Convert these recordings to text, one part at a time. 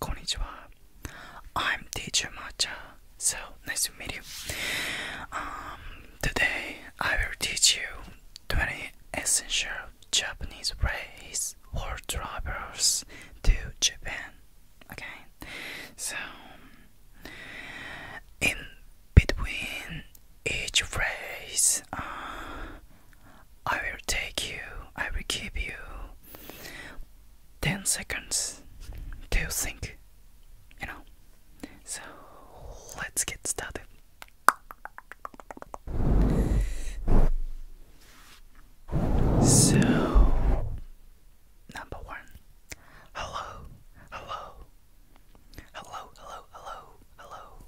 Konnichiwa. I'm teacher Matcha. So nice to meet you. Um, today I will teach you 20 essential Japanese ways for travelers to Japan. Okay, so in between each phrase uh, I will take you, I will give you 10 seconds to think, you know. So let's get started. So, number one, hello, hello, hello, hello, hello, hello,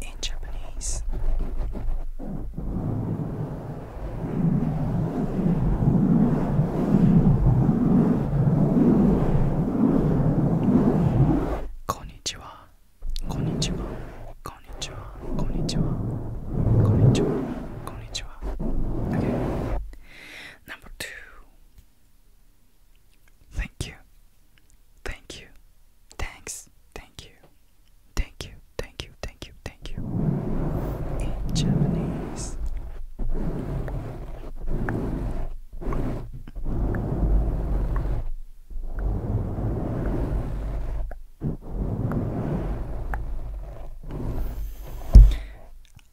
in Japanese. Konnichiwa, konnichiwa, konnichiwa, konnichiwa, konnichiwa, konnichiwa. Okay. Number two. Thank you. Thank you. Thanks. Thank you. Thank you. Thank you. Thank you. In Japanese.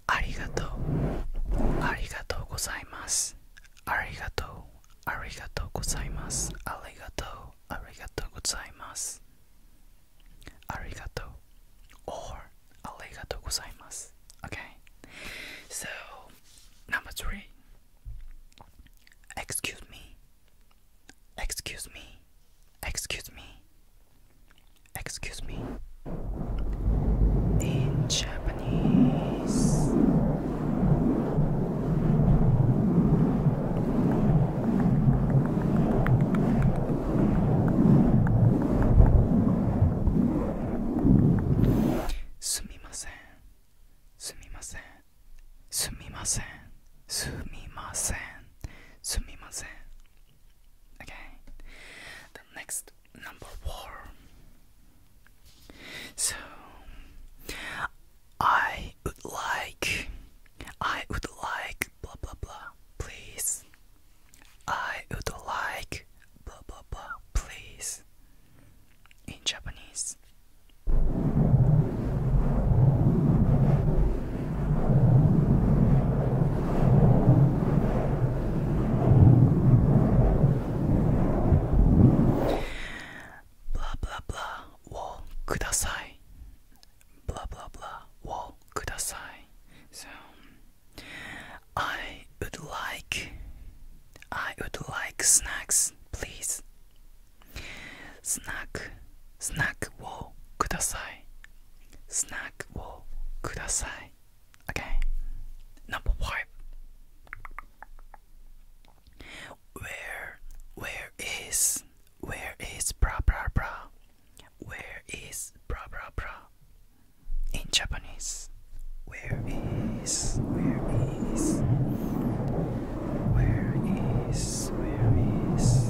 ありがとうありがとうございますありがとうありがとうございますありがとうありがとうございますありがとう or okay so number three excuse me excuse me excuse me excuse me in Japanese. Sumimasen, sumimasen, sumimasen, sumimasen, sumimasen. Okay, the next number four. So I would like, I would like, blah blah blah, please. I would like, blah blah blah, please. In Japanese. ブラブラブラをくださいブラブラブラをください So I would like I would like snacks please スナックスナックをくださいスナックをください Okay. Number five. Where, where is, where is bra bra bra? Where is bra bra bra? In Japanese, where is, where is, where is, where is?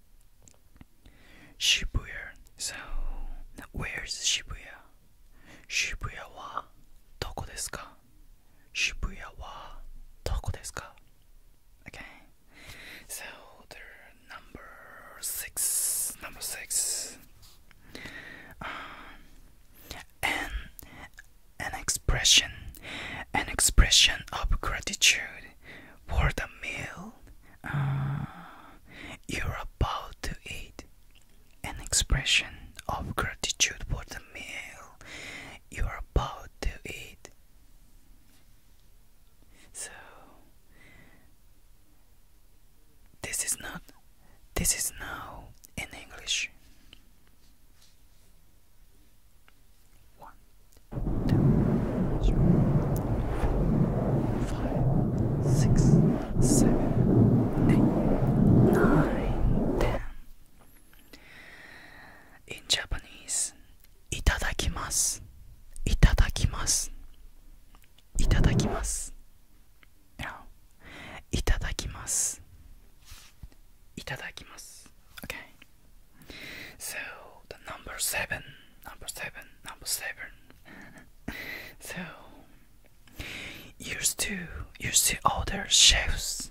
Shibuya. So, where's Shibuya? Shibuya wa doko Okay. So, number six, number six. Um, an expression, an expression of gratitude for the meal uh, you're about to eat. An expression of gratitude for the meal you're about to eat. So this is not this is now in English. One, two, three, four, five, six, seven, eight, nine, ten. In Japanese, いただきます。いただきます。いただきます。いただきます。いただきます。Okay. So the number seven, number seven, number seven. so, used to, used to order chefs,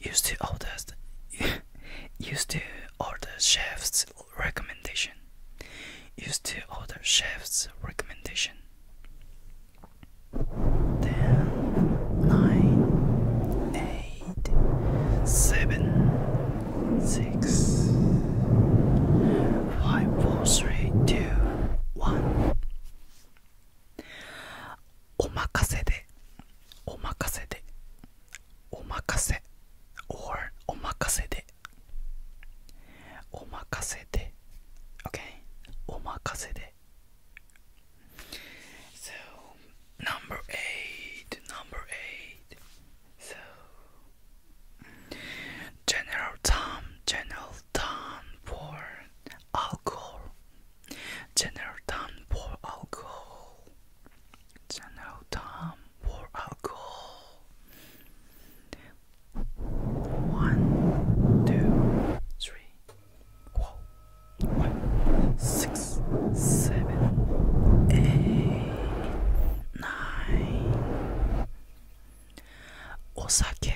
used to order, used to order chefs recommendation, used to order chefs recommendation. Ten, nine, eight, seven, six, five, four, three, two, one. おまかせで、おまかせで、おまかせ、or おまかせで、おまかせで、okay? おまかせで。So, number eight, number eight. So General Tom, General Tom for alcohol. General Tom for alcohol. General Tom for alcohol. One, two, three, four, five, six, seven, eight, nine, Osake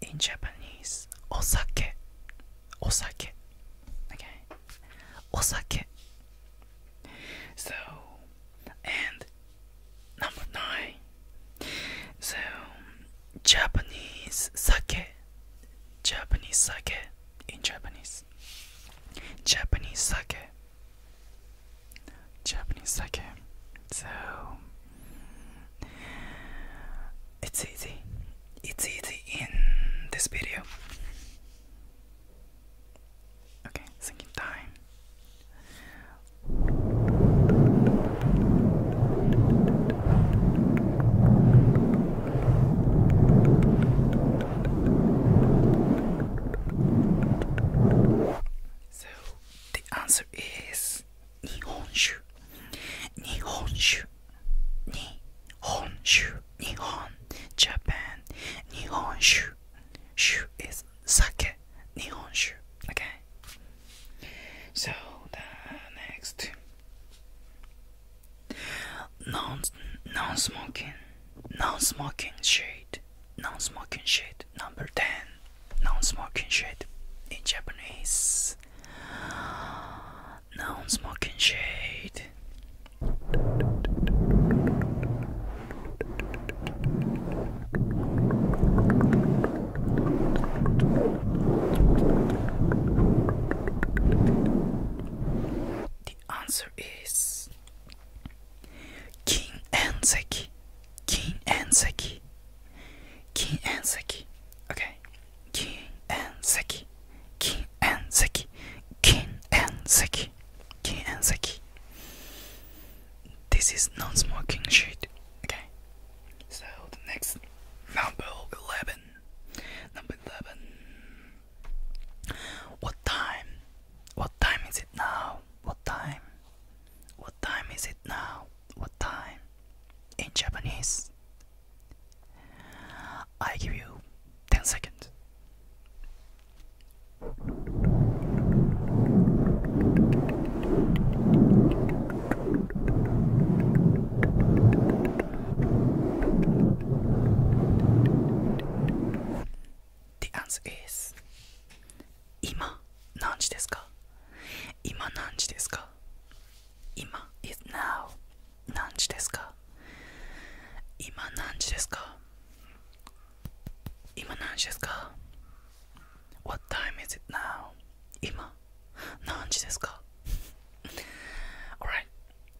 in Japanese. Osake. Osake. Okay. Osake. So, and number nine. So, Japanese sake. Japanese sake in Japanese. Japanese sake. Japanese sake. So it's easy. It's easy in this video. Okay, sinking time. So the answer is Nihonshu. Nihonshu. Nihonshu. Nihon. Japan. Nihonshu. Shu is sake. Nihonshu. Okay. So the next non non smoking non smoking shade non-smoking shade number 10 non-smoking shade in Japanese non-smoking shade the answer is 金円石金円石金円石 okay 金円石金円石金円石金円石 this is non-smoking shit okay so the next number 11 number 11 what time? What time is it now? What time? What time is it now? What time? In Japanese, I give you 10 seconds. The answer is 今何時ですか今何時ですか今 is now 何時ですか今何時ですか今何時ですか What time is it now? 今何時ですか Alright,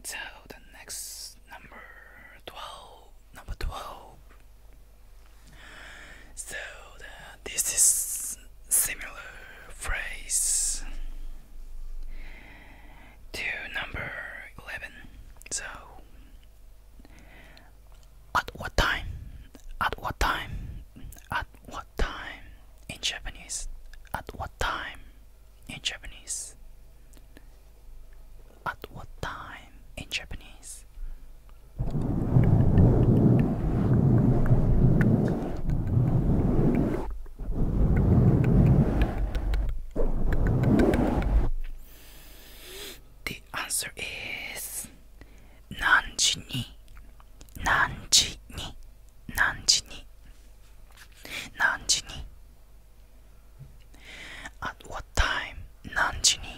so the next number 12 number 12 so uh, this is similar phrase to number 11 so at what time at what time at what time in japanese at what time in japanese at what time in Japanese? The answer is Nanji ni Nanji ni at what time? Nanji ni.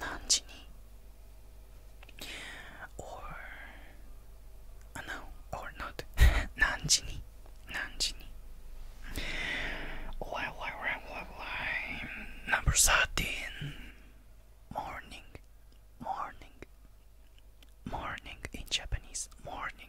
Nanji ni. Or uh, no, or not. Nanji ni. Nanji ni. Why, why, why, why, why? Number thirteen. Morning, morning, morning in Japanese. Morning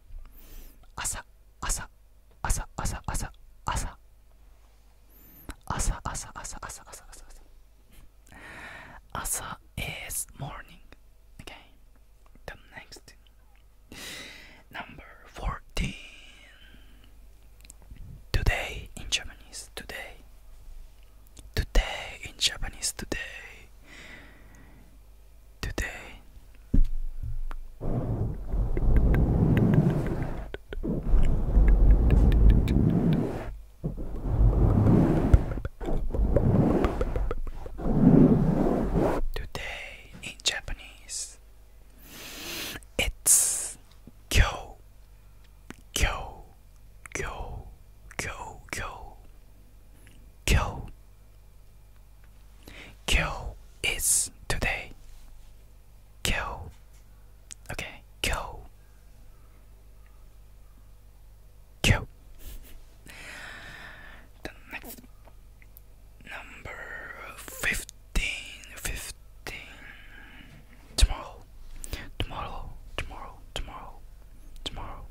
Asa, is morning okay the next number 14 today in japanese today today in japanese today today. Today in Japanese, it's go, go, go, go, go, go. Kill is today. Kill. Okay, kyo. Kyo. the next number 15 15 tomorrow tomorrow tomorrow tomorrow tomorrow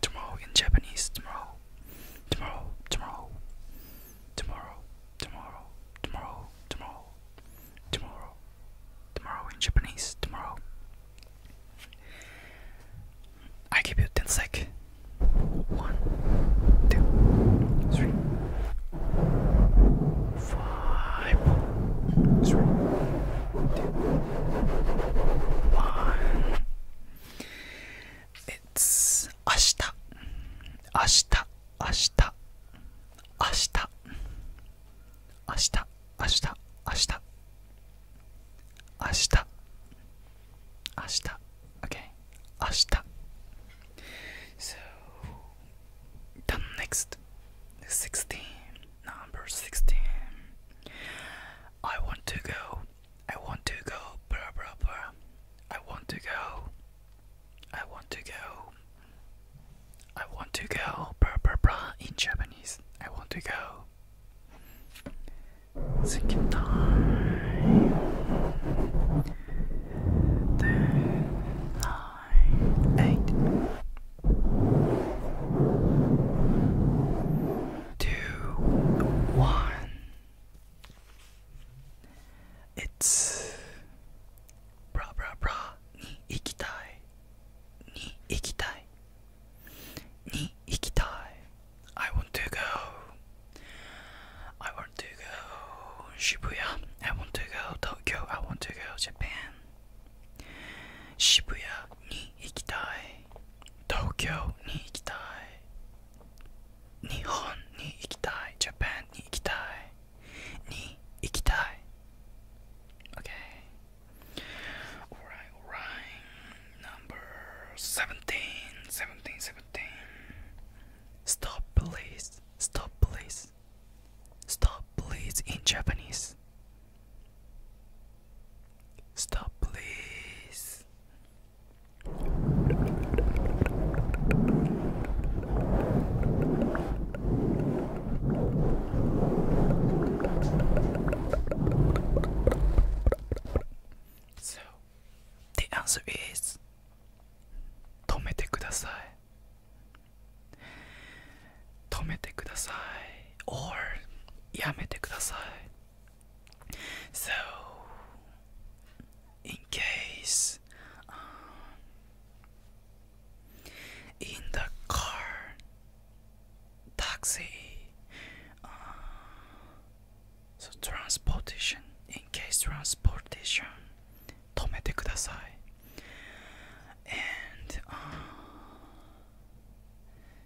tomorrow in Japanese tomorrow tomorrow, tomorrow, tomorrow, tomorrow, tomorrow, tomorrow, tomorrow, in Japanese, tomorrow. I give you 10 sec. One, two, three, five, three, two, one. It's ashita, ashita, So the next sixteen, number sixteen. I want to go I want to go, blah blah blah. I want to go. I want to go. I want to go, blah blah blah. In Japanese, I want to go. Thinking time. Ten, nine, eight, two, one. It's ブラブラブラに行きたいに行きたいに行きたい I want to go I want to go 渋谷 I want to go 東京 I want to go Japan 渋谷に行きたい東京に行きたい日本に行きたい Japan に行きたいに行きたい Okay Alright alright Number 17 17 17 Stop please Stop please Stop please in Japanese Stop please so the answer is 止めてください止めてください or やめてください so, in case um, in the car, taxi, uh, so transportation, in case transportation, 止めてください and uh,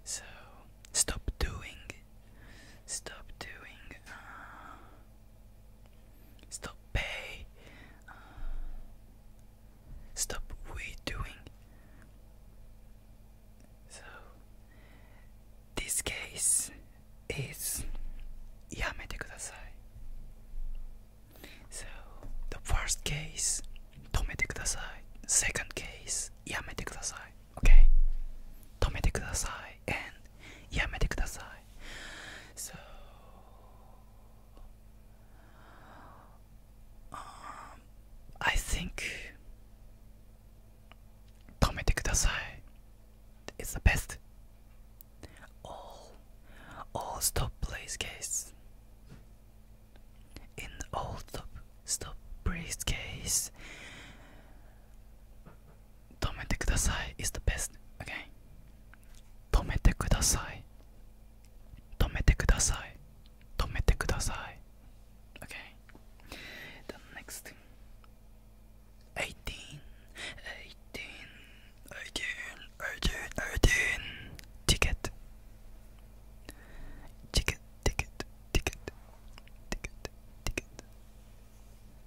so stop doing stop doing, uh, stop pay, uh, stop we doing. So this case is yamete kudasai. So the first case, tomete kudasai. Second case, yamete kudasai okay? 止めてください and やめてください So um, I think 止めてください It's the best all all stop place case in all stop stop place case 止めてください is the best, okay? 止めてください止めてください止めてください okay? The next thing 18 18 18 18 18 ticket ticket ticket ticket, ticket, ticket,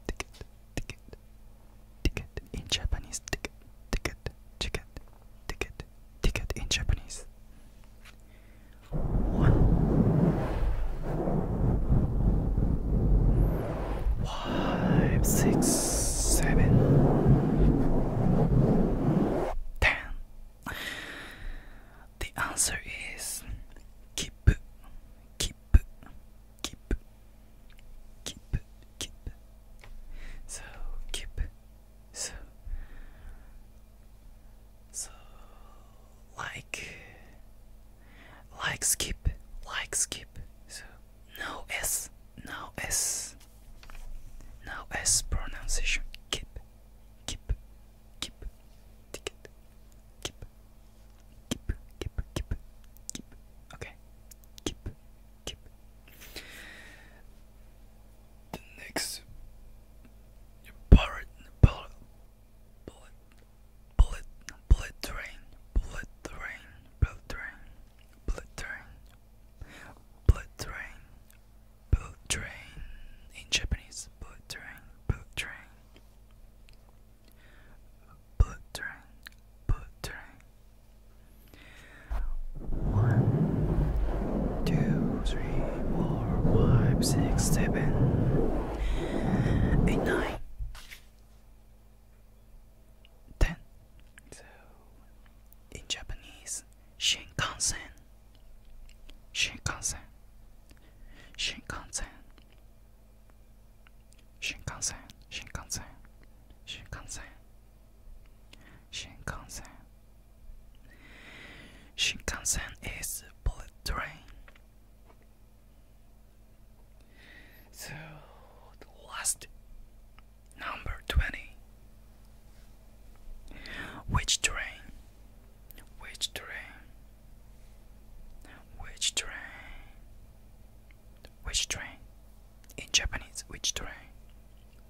ticket, ticket, ticket in Japanese, ticket, ticket, ticket, ticket, ticket in Japanese. One, five, six, seven, ten. The answer is keep, keep, keep, keep, keep. So keep, so, so like, like skip, like skip. So no s, no s, no s pronunciation. Keep, keep, keep, ticket, Keep. Keep. Keep. Keep. Keep. Okay. Keep. Keep. The next bullet, bullet, bullet, bullet, train, bullet train, bullet train, bullet train, bullet train, bullet train. In Japanese, bullet train, bullet train, buttering, buttering. One, two, three, four, five, six, seven, eight, nine, ten. in Japanese, Shinkansen, Shinkansen, Shinkansen. Shinkansen. Shinkansen. Shinkansen. Shinkansen. Shinkansen is bullet train. So the last number twenty. Which train? Which train? Which train? Which train? In Japanese, which train?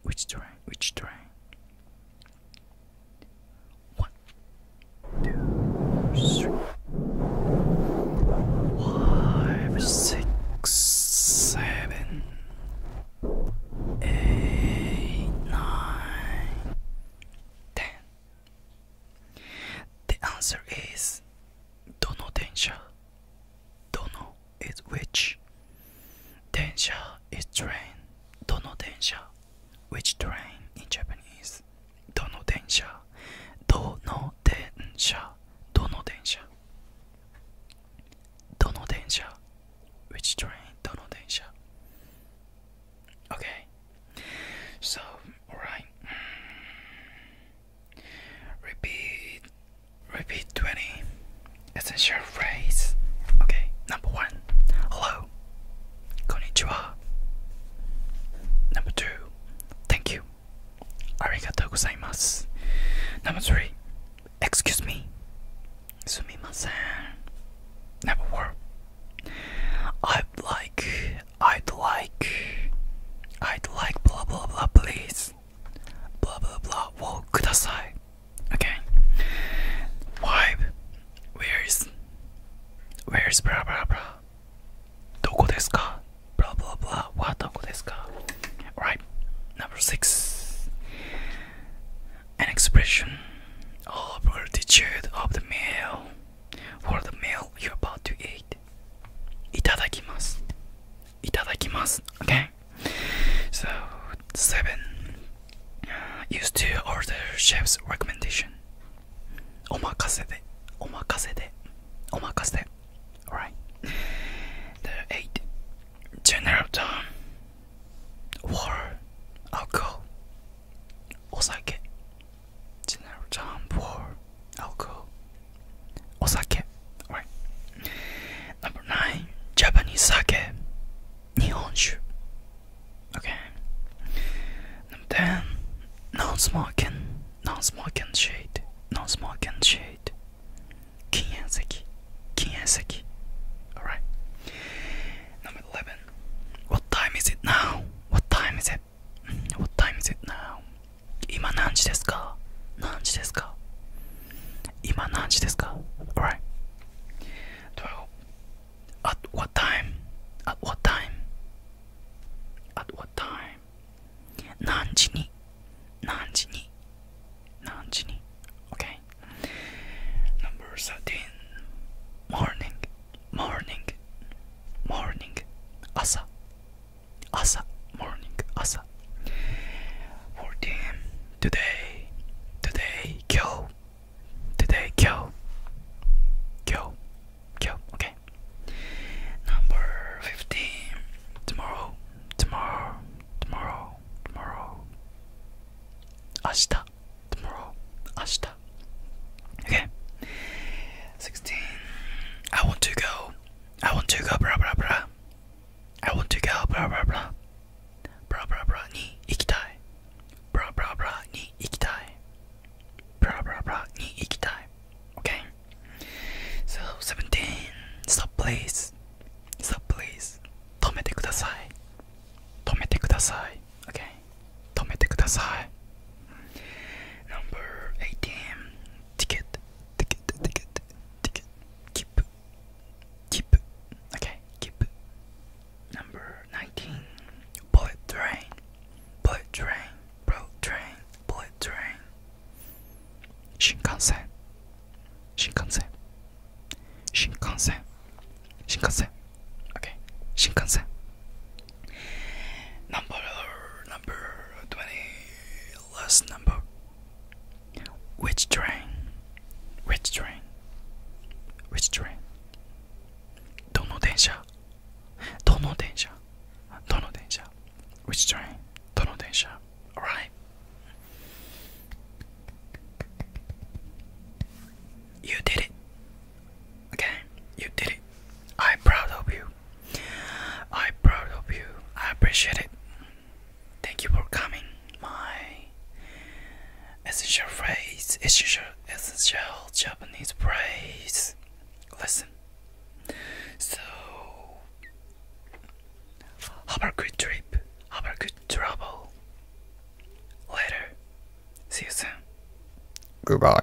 Which train? Which train? One, two, three, five, six, seven, eight, nine, ten. The answer is Dono Densha. is which. Densha is train. Dono Which train in Japanese? Dono Densha. Dono Which train? Okay. So, alright. Repeat. Repeat 20. Essential phrase. Okay, number one. Hello. Konnichiwa. Number two. Thank you. Arigatou gozaimasu. Number three. Excuse me. Sumimasen. Number four. I'd like, I'd like, I'd like blah blah blah please. Blah blah blah. Whoa, kudasai. Okay. Vibe. Where's, where's blah blah blah? Doko desu ka? Blah blah blah. What doko desu ka? Right. Number six an expression of gratitude of the meal for the meal you're about to eat. Itadakimasu. Itadakimasu. Okay. So seven. Uh, used to order chef's recommendation. Omakase de. Omakase de. Omakase de. Alright. The eight. General War. Alcohol. お酒 general term for alcohol お酒 right number nine Japanese sake okay number ten non-smoking non-smoking shade non-smoking shade alright 11. What time is it now? What time is it? What time is it now? 今何時ですか何時ですか今何時ですか 12. At what time? At what time? At what time? 何時に何時に何時に Number 13. Morning morning morning asa asa morning asa for today today go today go go go okay number 15 tomorrow tomorrow tomorrow tomorrow 明日 tomorrow, ashita. Okay. 16. I want to go. I want to go, blah blah blah. I want to go, blah blah blah. Blah blah blah, ni ikitai. Blah blah blah, ni ikitai. Blah blah blah, ni ikitai. Okay. So 17. Stop, please. Stop, please. Tomete kudasai. Tomete kudasai. Okay. 止めてください No.18 ティケットティケットティケットティケットキップキップ OK キップ No.19 Bullet Train Bullet Train Bullet Train Bullet Train 新幹線新幹線新幹線 Shinkansen. Okay, Shinkansen. Number number twenty. Last number. Which train? Which train? Which train? Which train? どの電車？Alright. You did it. Okay, you did it. I'm proud of you. I'm proud of you. I appreciate it. Thank you for coming. My essential phrase, essential, essential Japanese phrase. Listen. So, have a good trip. Have a good travel. Later. See you soon. Goodbye.